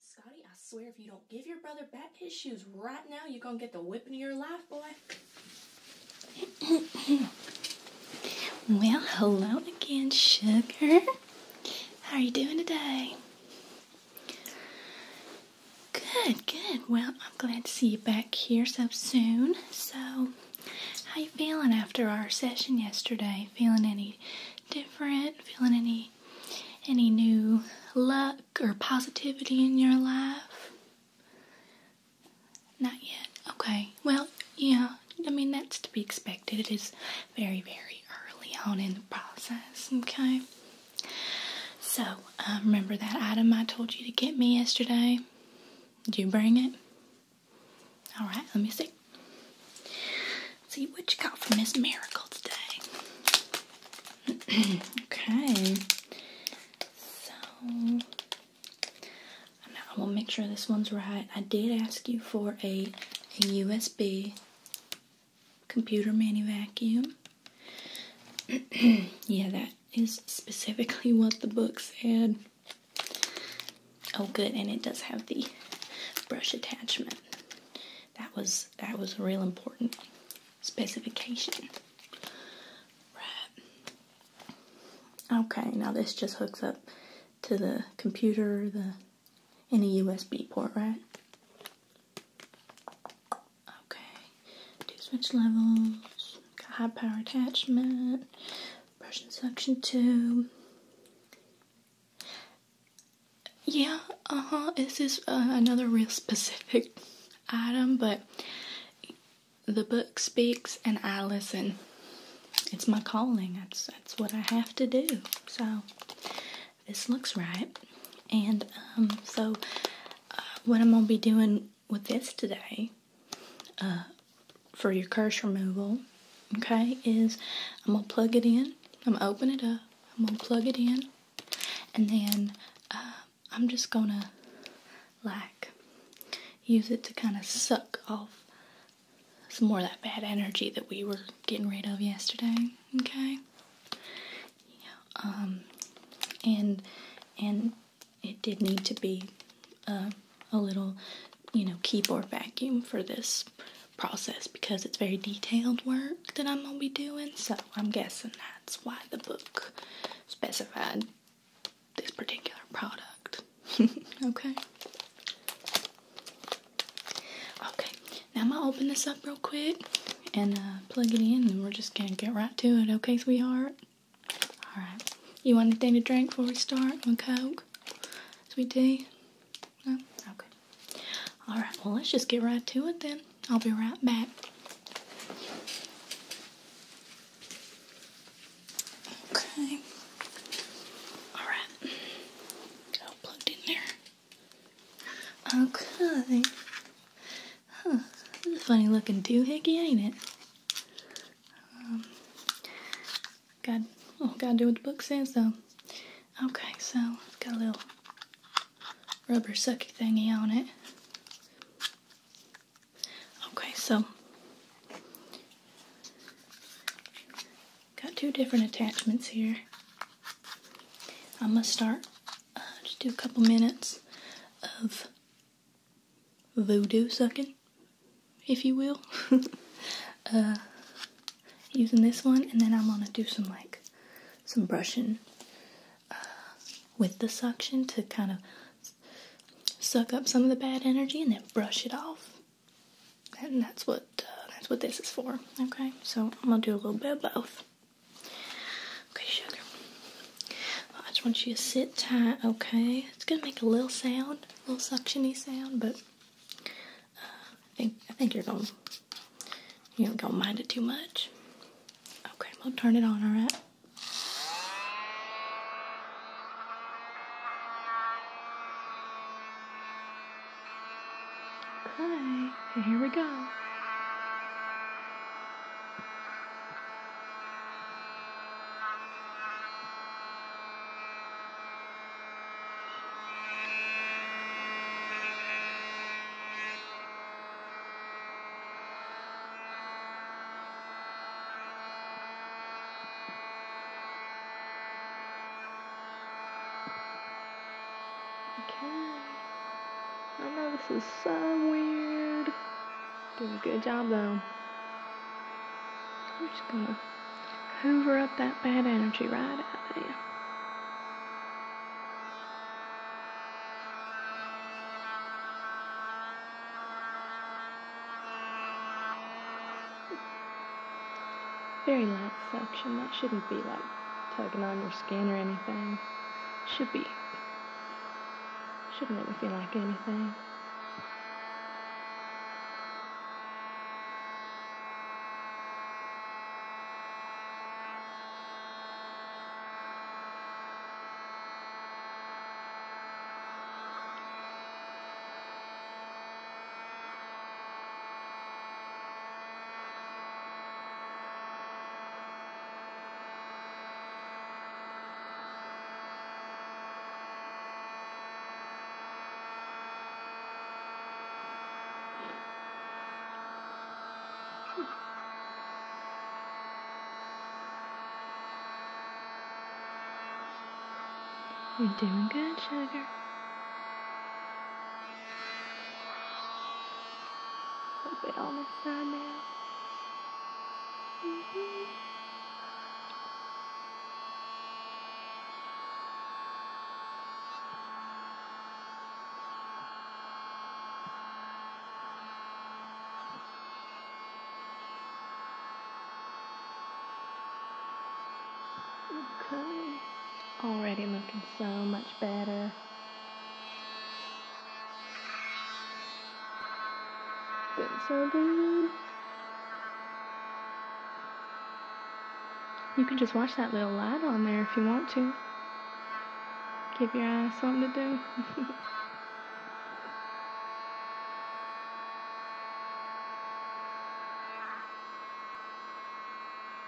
Scotty, I swear if you don't give your brother back his shoes right now, you're gonna get the whipping of your life, boy. well, hello again, sugar. How are you doing today? Good, good. Well, I'm glad to see you back here so soon. So, how you feeling after our session yesterday? Feeling any different? Feeling any any new luck or positivity in your life? Not yet. Okay. Well, yeah. I mean, that's to be expected. It is very, very early on in the process, okay? So, um, remember that item I told you to get me yesterday? Did you bring it? Alright, let me see. see what you got from Miss Miracle today. okay. So, I will make sure this one's right. I did ask you for a USB computer mani vacuum. yeah, that is specifically what the book said. Oh, good, and it does have the brush attachment. That was that was a real important specification. Right. Okay, now this just hooks up to the computer, the in a USB port, right? Okay, two switch levels, got high power attachment, brush and suction tube. Yeah, uh huh. This is uh, another real specific item, but the book speaks and I listen. It's my calling. That's that's what I have to do. So this looks right. And um, so, uh, what I'm going to be doing with this today uh, for your curse removal, okay, is I'm going to plug it in. I'm going to open it up. I'm going to plug it in. And then uh, I'm just going to, like, use it to kind of suck off some more of that bad energy that we were getting rid of yesterday, okay? Yeah. Um, and and it did need to be uh, a little, you know, keyboard vacuum for this process because it's very detailed work that I'm gonna be doing. So I'm guessing that's why the book specified this particular product. okay. Okay, now I'm gonna open this up real quick and uh, plug it in, and we're just gonna get right to it, okay, sweetheart? Alright. You want anything to drink before we start? One Coke? Sweet tea? No? Okay. Alright, well, let's just get right to it then. I'll be right back. Okay. Alright. plugged in there. Okay. Huh. This is a funny looking doohickey, ain't it? Um, got, oh, gotta do what the book says, though. Okay, so it's got a little rubber sucky thingy on it. Okay, so Got two different attachments here. I'm gonna start, uh, just do a couple minutes of voodoo sucking, if you will. Uh, using this one, and then I'm gonna do some like some brushing uh, with the suction to kind of suck up some of the bad energy and then brush it off and that's what uh, that's what this is for. Okay, so I'm gonna do a little bit of both. Okay, sugar. I just want you to sit tight. Okay, it's gonna make a little sound, a little suctiony sound, but uh, I think I think you're gonna you are not gonna mind it too much. Okay, we'll turn it on. All right. Hi, and here we go. Okay. I know this is so weird. Did a good job though. I'm just gonna hoover up that bad energy right out of you. Very light suction. That shouldn't be like tugging on your skin or anything. Should be. Shouldn't make me feel like anything. You're doing good, sugar. A bit almost down now. Mm -hmm. Already looking so much better. Been so good. You can just watch that little lad on there if you want to. Give your eyes something to do.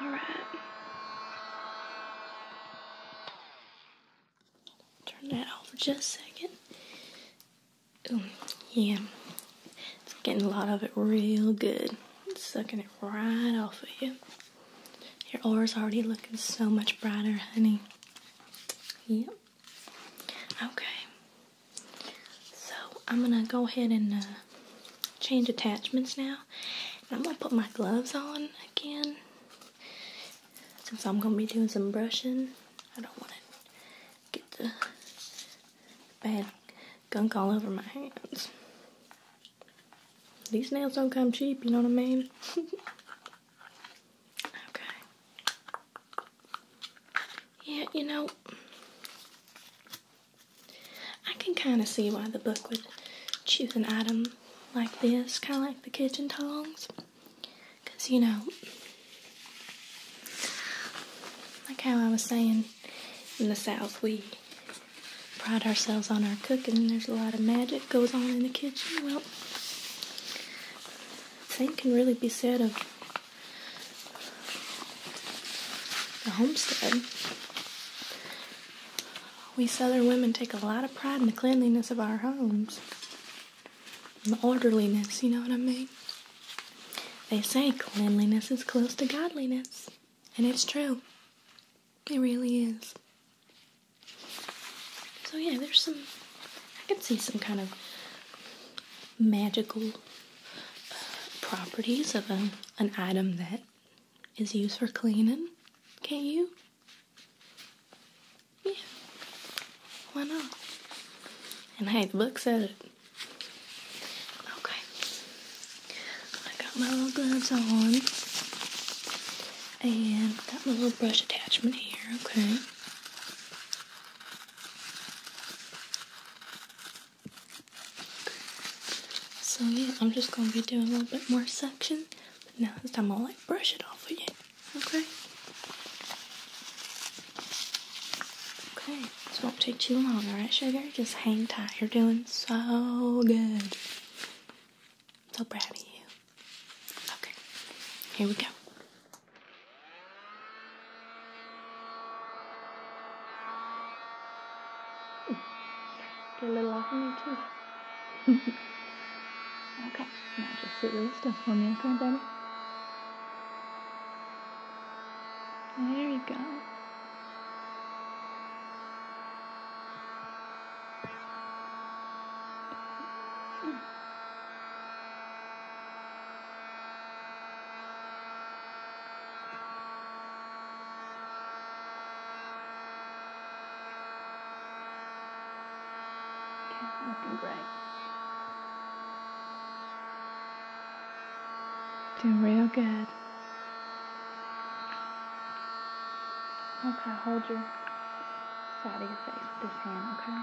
All right. Turn that off for just a second. yeah, it's getting a lot of it real good. It's sucking it right off of you. Your aura's already looking so much brighter, honey. Yep. Okay. So I'm gonna go ahead and uh, change attachments now. I'm gonna put my gloves on again since I'm gonna be doing some brushing. I don't want to get the bad gunk all over my hands. These nails don't come cheap, you know what I mean? okay. Yeah, you know, I can kind of see why the book would choose an item like this, kind of like the kitchen tongs. Because, you know, like how I was saying, in the South we pride ourselves on our cooking. There's a lot of magic goes on in the kitchen. Well, same can really be said of the homestead. We southern women take a lot of pride in the cleanliness of our homes. And the orderliness, you know what I mean? They say cleanliness is close to godliness. And it's true. It really is. So yeah, there's some I can see some kind of magical properties of a, an item that is used for cleaning, can't you? Yeah. Why not? And hey, the book said it. Okay. I got my little gloves on. And got my little brush attachment here, okay? So yeah, I'm just gonna be doing a little bit more suction, but now it's time I'll like brush it off again. Okay. Okay, this won't take too long, alright, sugar? Just hang tight. You're doing so good. So proud of you. Okay, here we go. Get a little off of me too. okay, now just sit really still for me, okay, baby? There you go looking great. Doing real good. Okay, hold your side of your face with this hand, okay?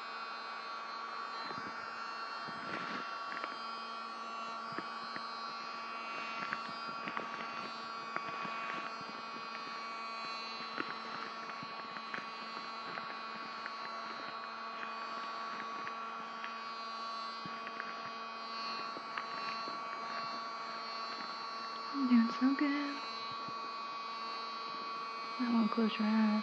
I'm doing so good. Might want to close your eyes.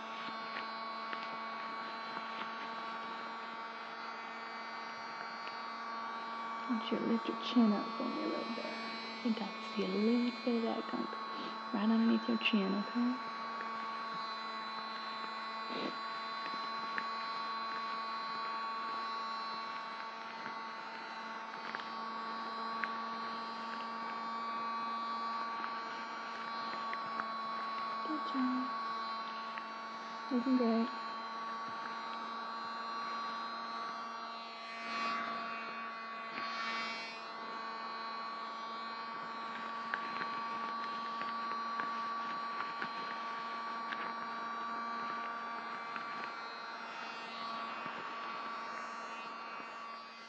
I want you to lift your chin up for me a little bit. I think I can see a little bit of that gunk right underneath your chin, okay? Good job. Looking great.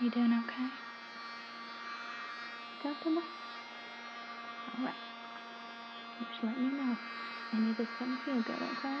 You doing okay? Comfortable? Alright. Just let me know. Any of this doesn't feel good, okay?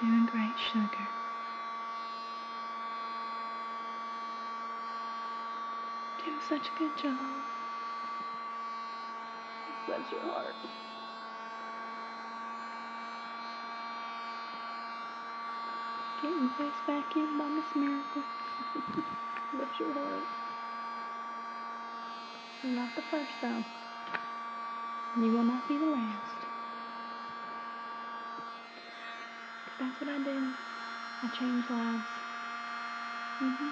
Doing great, sugar. Doing such a good job. Bless your heart. Getting your face back in, by Miss miracle. Bless your heart. Not the first though. You will not be the last. That's what I did. I changed lives. hmm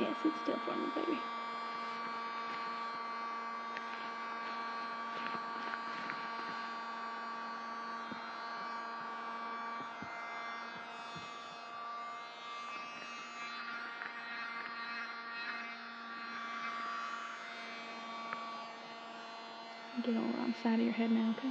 Yes, it's still for me, baby. Get all on the side of your head now, okay?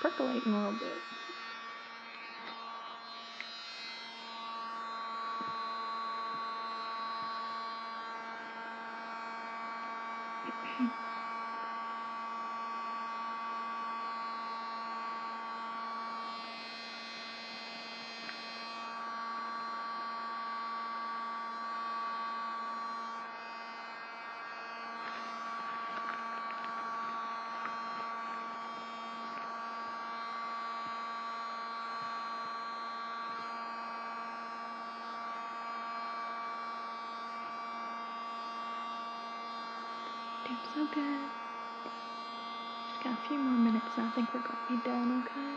percolating a little bit. Doing so good. Just got a few more minutes and I think we're gonna be done, okay?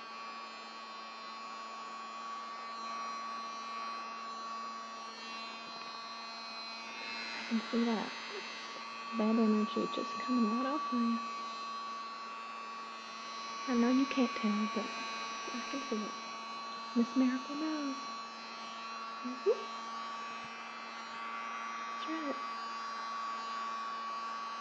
I can see that bad energy just coming right off of you. I know you can't tell, but I can see it. Miss Miracle knows. Mm -hmm.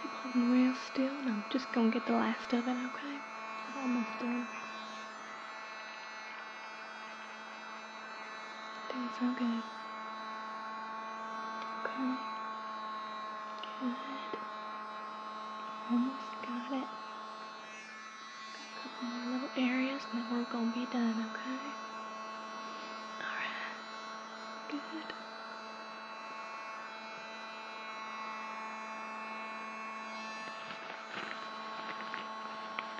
Keep holding real still, and I'm just gonna get the last of it, okay? I'm almost done. Things are good. Okay. Good. Almost got it. Got a couple more little areas then we're gonna be done, okay? Alright. Good.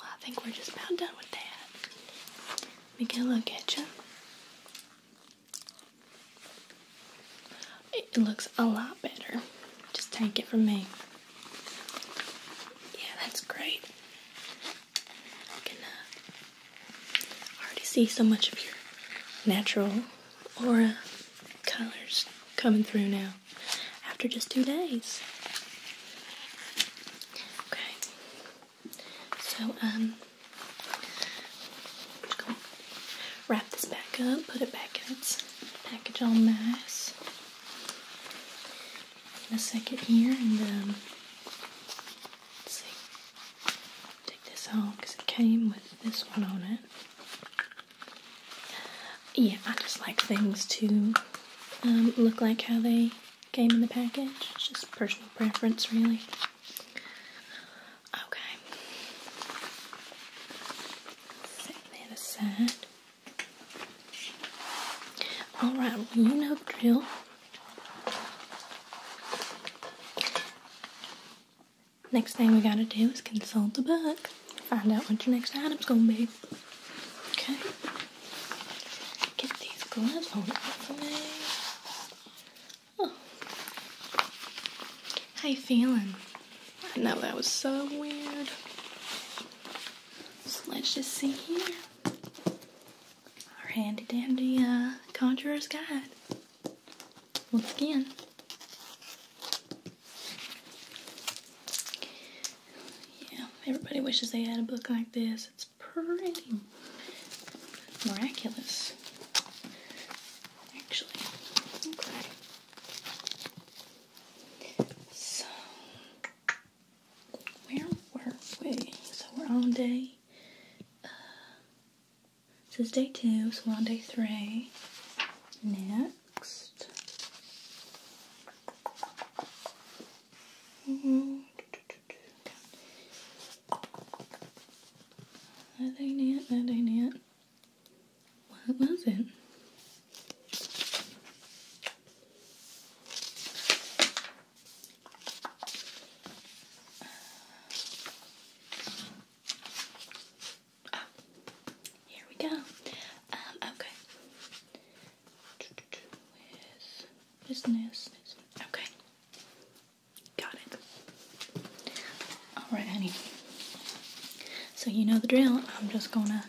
Well, I think we're just about done with that. Let me get a look at you. It looks a lot better. Just take it from me. Yeah, that's great. I can uh, already see so much of your natural aura colors coming through now after just two days. Okay. So, um, I'm just wrap this back up, put it back in its package all nice in a second here, and then um, let's see, take this off because it came with this one on it. Yeah, I just like things to um, look like how they came in the package. just personal preference, really. Okay. Set that aside. Alright, well, you know the drill. Next thing we gotta do is consult the book. Find out what your next item's gonna be. Okay. Get these gloves on for me. Oh. How you feeling? I know that was so weird. So let's just see here. Our handy dandy uh, conjurer's guide. Once again. Yeah, everybody wishes they had a book like this. It's pretty miraculous, actually. Okay. So, where were we? So, we're on day. Uh, so it's day two, so we're on day three. Knit. That ain't it, that ain't it. What was it? Oh, here we go. Um, okay. With business. Okay. Got it. Alright, honey. So you know the drill. I'm just gonna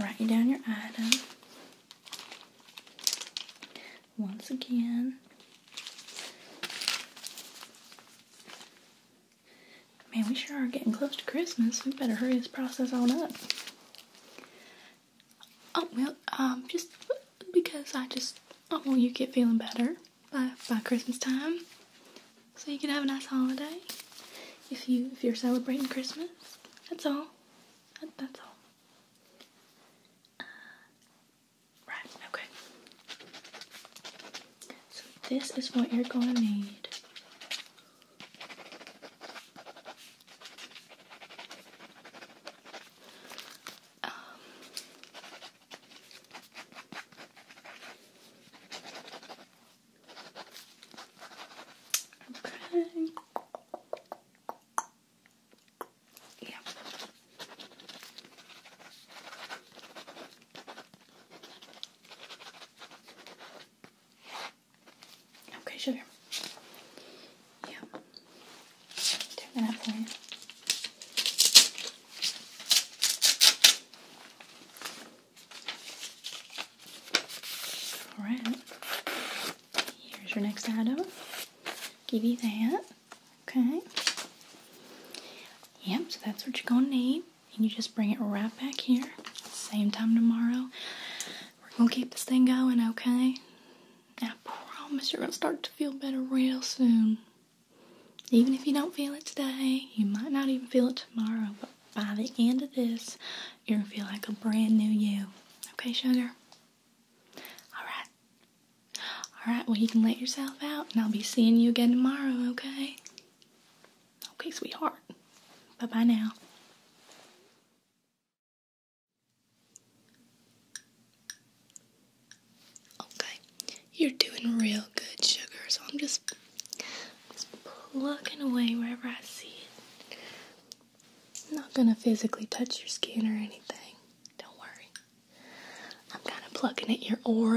write you down your item. Once again. Man, we sure are getting close to Christmas. We better hurry this process on up. Oh, well, um, just because I just, I want you to get feeling better by, by Christmas time. So you can have a nice holiday. If you, if you're celebrating Christmas. That's all. that's all. Uh, okay. So this is what you're going to need. Um, okay. Yeah. Okay, sugar. Yeah. Turn that up Alright. Here's your next item. Give you that. Okay. Yep, so that's what you're gonna need and you just bring it right back here. Same time tomorrow. We're gonna keep this thing going, okay? I promise you're gonna start to feel better real soon. Even if you don't feel it today, you might not even feel it tomorrow, but by the end of this, you're gonna feel like a brand new you. Okay, sugar? Alright. Alright, well, you can let yourself out, and I'll be seeing you again tomorrow, okay? Okay, sweetheart. Bye bye now. Okay, you're doing real good, sugar. So I'm just, just plucking away wherever I see it. not gonna physically touch your skin or anything. Don't worry. I'm kind of plucking at your aura.